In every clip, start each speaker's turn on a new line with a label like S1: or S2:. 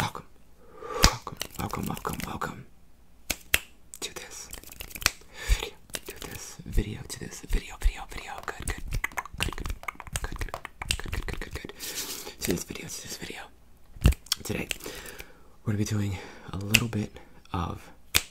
S1: Welcome, welcome, welcome, welcome, welcome to this video, to this video, to this video, video, video. Good, good, good, good, good, good, good, good, good, good, good. To this video, to this video. Today, we're gonna be doing a little bit of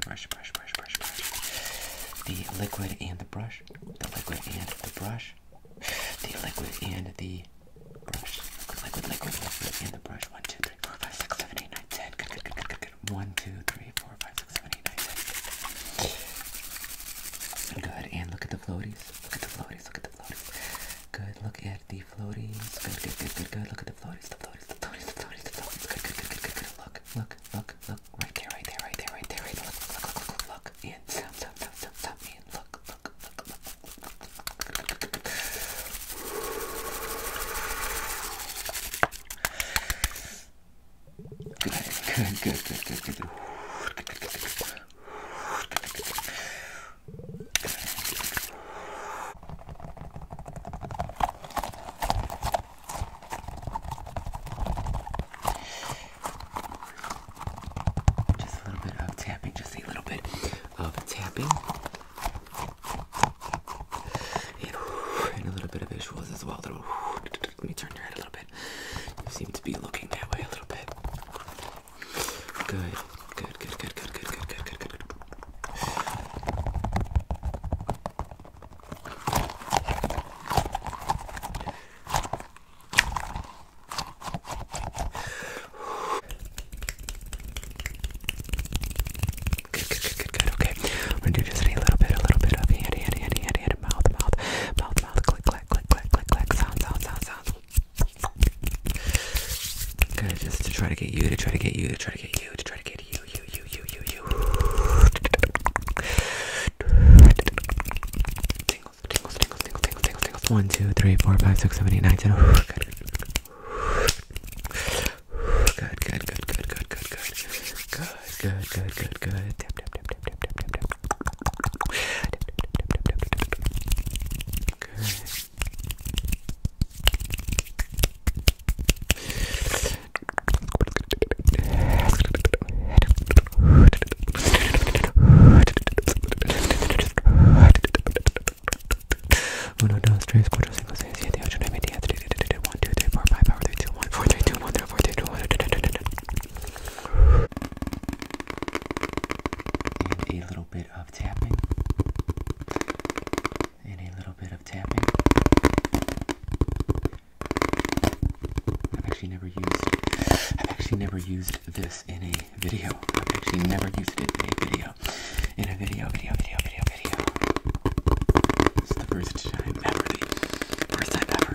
S1: brush, the brush, brush, brush, brush, brush. The liquid and the brush. The liquid and the brush. The liquid and the brush. Liquid, liquid, liquid, and the brush. 1, 2, 3, 4, 5, 6, 7, 8, 9, 10. Good, good, good, good, good, good. 1, 2, 3, 4, 5, 6, 7, 8, 9, 10. Good, and look at the floaties. Look at the floaties, look at the floaties. Good, look at the floaties. Good, good, good, good, good. Look at the floaties, the floaties, the floaties, the floaties, the floaties. Good, good, good, good, good, good. Look, look, look, right there, right there, right there, right there, right there. Look, look, look, look, look, look. And stop, stop, stop, stop, stop. And look, look, look, look. Good, good, good, good, good, good. good. Good. Just a little bit of tapping, just a little bit of tapping. And, and a little bit of visuals as well. Little, let me turn your head a little bit. You seem to be looking that way a little bit. Good, good, good, good, good, good, good, good, good, good. Good, good, good, good, good. Okay, we're gonna do just a little bit, a little bit of handy, handy, handy, handy, handy, mouth, mouth, mouth, mouth, click, click, click, click, click, click, sound, sound, sound, sound. Good, just to try to get you, to try to get you, to try to get you, to try to get you, you, you, you, you, you. Tingles, tingles, tingles, tingles, tingles, tingles, tingles. One, two, three, four, five, six, seven, eight, nine, ten. Good. Good, good, good, good, good, good, good. Good, good, good, good, good. Tap, tap, tap, tap, tap, tap, tap. Good. 1, 2, 3, 4, 5, 6, 7, 8, 9, 10, 11, 1, 2, 3, 4, 5, 5, 3, 2, 1, 4, 3, 2, 1, 3, 4, 3, 2, 1, 2, 3, 2, 1. And a little bit of tapping and a little bit of tapping. I've actually never used I've actually never used this in a video. I've actually never used it in a video. In a video, video, video, video, video. It's the first time ever. The first time ever.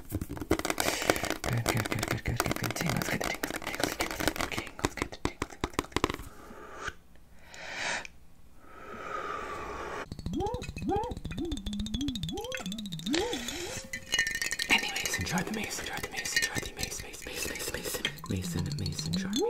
S1: Good, good, good, good, good, good, good. Tingles, good, tingles, good, tingles, good, tingles, good, tingles, good, tingles, good. Anyways, enjoy the maze, enjoy the maze, enjoy the maze, maze, maze, maze, mason, mason, mason, jar, mason, jar.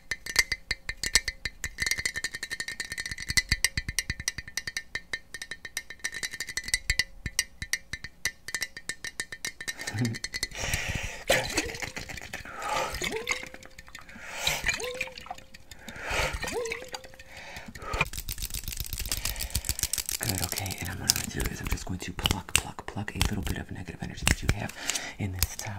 S1: Good, okay, and I'm gonna do is I'm just going to pluck, pluck, pluck a little bit of negative energy that you have in this time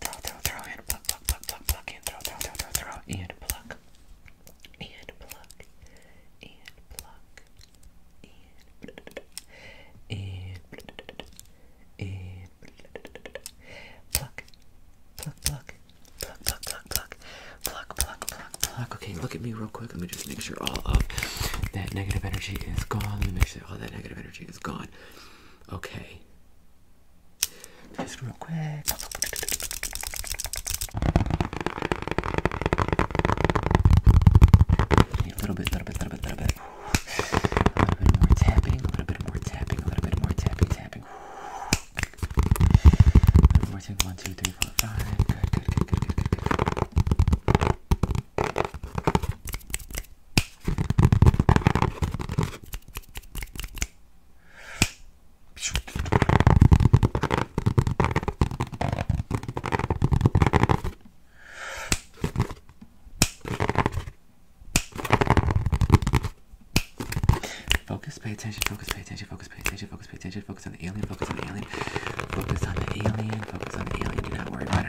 S1: Throw, throw, throw, and pluck, pluck, pluck, pluck, pluck, and throw, throw, throw, throw, throw, pluck, and pluck, and pluck, and pluck, pluck, pluck, pluck, pluck, pluck, pluck, pluck, pluck, pluck, pluck. Okay, look at me real quick. Let me just make sure all of that negative energy is gone. Let me make sure all that negative energy is gone. Okay. Just real quick. a little bit, little bit, little bit, little bit. A little bit more tapping, a little bit more tapping, a little bit more tapping, tapping. A One, two, three, four, five. good, good, good, good, good, good. Focus, pay attention, focus, pay attention, focus, pay attention, focus, pay attention, focus on the alien, focus on the alien, focus on the alien, focus on the alien, do not worry about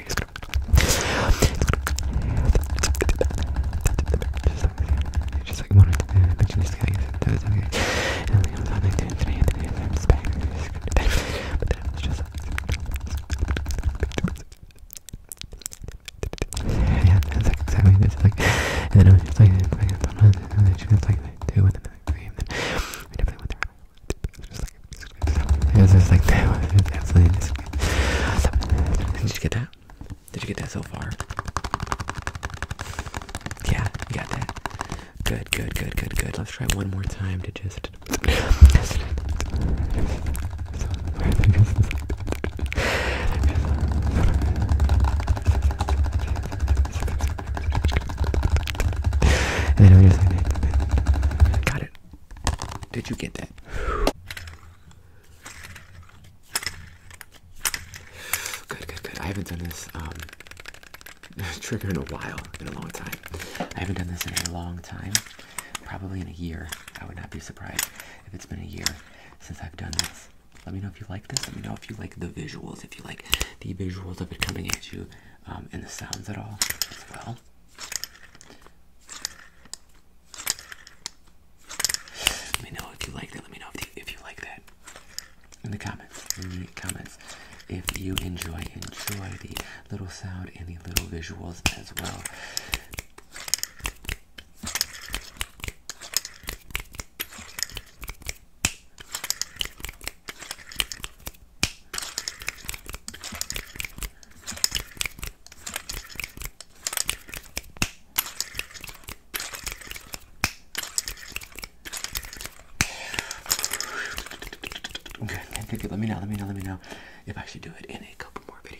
S1: here. Just gonna just like wanted to mention this guy that was okay. And like I was on like today and today and I'm just back and just going to bed. But then I was just like yeah, that's like exactly this. Like, and then I was just like, I don't know, and then she was like, two, and then like three, and then we definitely went there. Just like, did you get that? Did you get that so far? Yeah, you got that. Good, good, good, good, good. Let's try one more time to just. Got it. Did you get that? Good, good, good. I haven't done this um, trigger in a while, in a long time. I haven't done this in a long time, probably in a year. I would not be surprised if it's been a year since I've done this. Let me know if you like this. Let me know if you like the visuals, if you like the visuals of it coming at you um, and the sounds at all as well. Let me know if you like that. Let me know if you, like that in the comments. In the comments, if you enjoy enjoy the little sound and the little visuals as well. Okay, good, good. Let me know, let me know, let me know if I should do it in a couple more videos.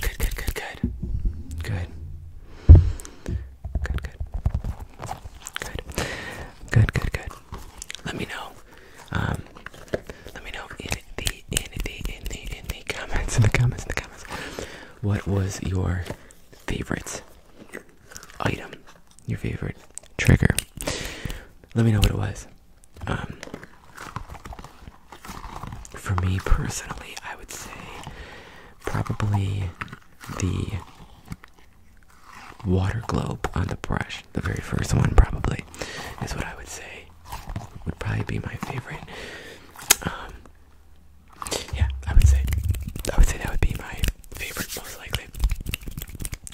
S1: Good, good, good, good. Good. Good, good. Good. Good, good, good. Let me know. Um let me know in the in the in the in the comments in the comments in the comments. What was your favorite item, your favorite trigger. Let me know what it was. Um, for me personally, I would say probably the water globe on the brush, the very first one, probably, is what I would say would probably be my favorite. Um, yeah, I would say I would say that would be my favorite most likely.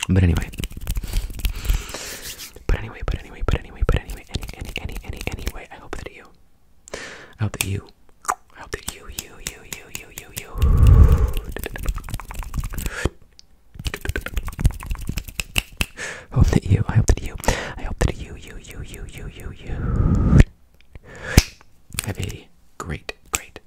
S1: But anyway. But anyway, but anyway, but anyway, but anyway, any any any any anyway, I hope that you I hope that you I hope that you you you you you you you Hope that you I hope that you I hope that you you you you you you you have a great, great,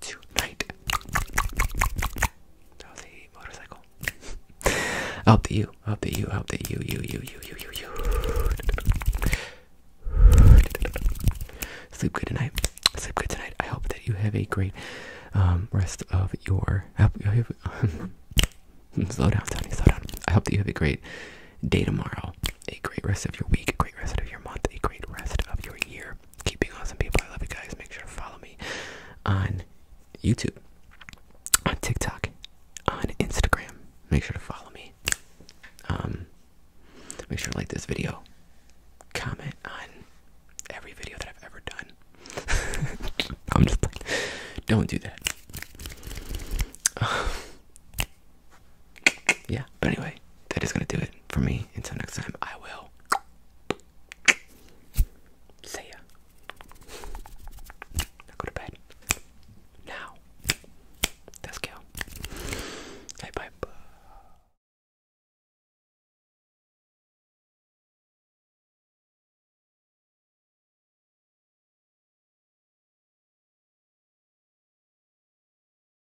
S1: tonight, tonight. That was a motorcycle. Up to you, up to you, up to you, you, you, you, you, you, you. Sleep good tonight. Sleep good tonight. I hope that you have a great um, rest of your. slow down, Tony. Slow down. I hope that you have a great day tomorrow, a great rest of your week, a great rest of your month, a great rest of your year here. Keep being awesome people. I love you guys. Make sure to follow me on YouTube, on TikTok, on Instagram. Make sure to follow me. Um, make sure to like this video. Comment on every video that I've ever done. I'm just don't do that. yeah, but anyway, that is gonna do it for me. Until next time, I will see ya. go to bed. Now, let's go. Hey, bye.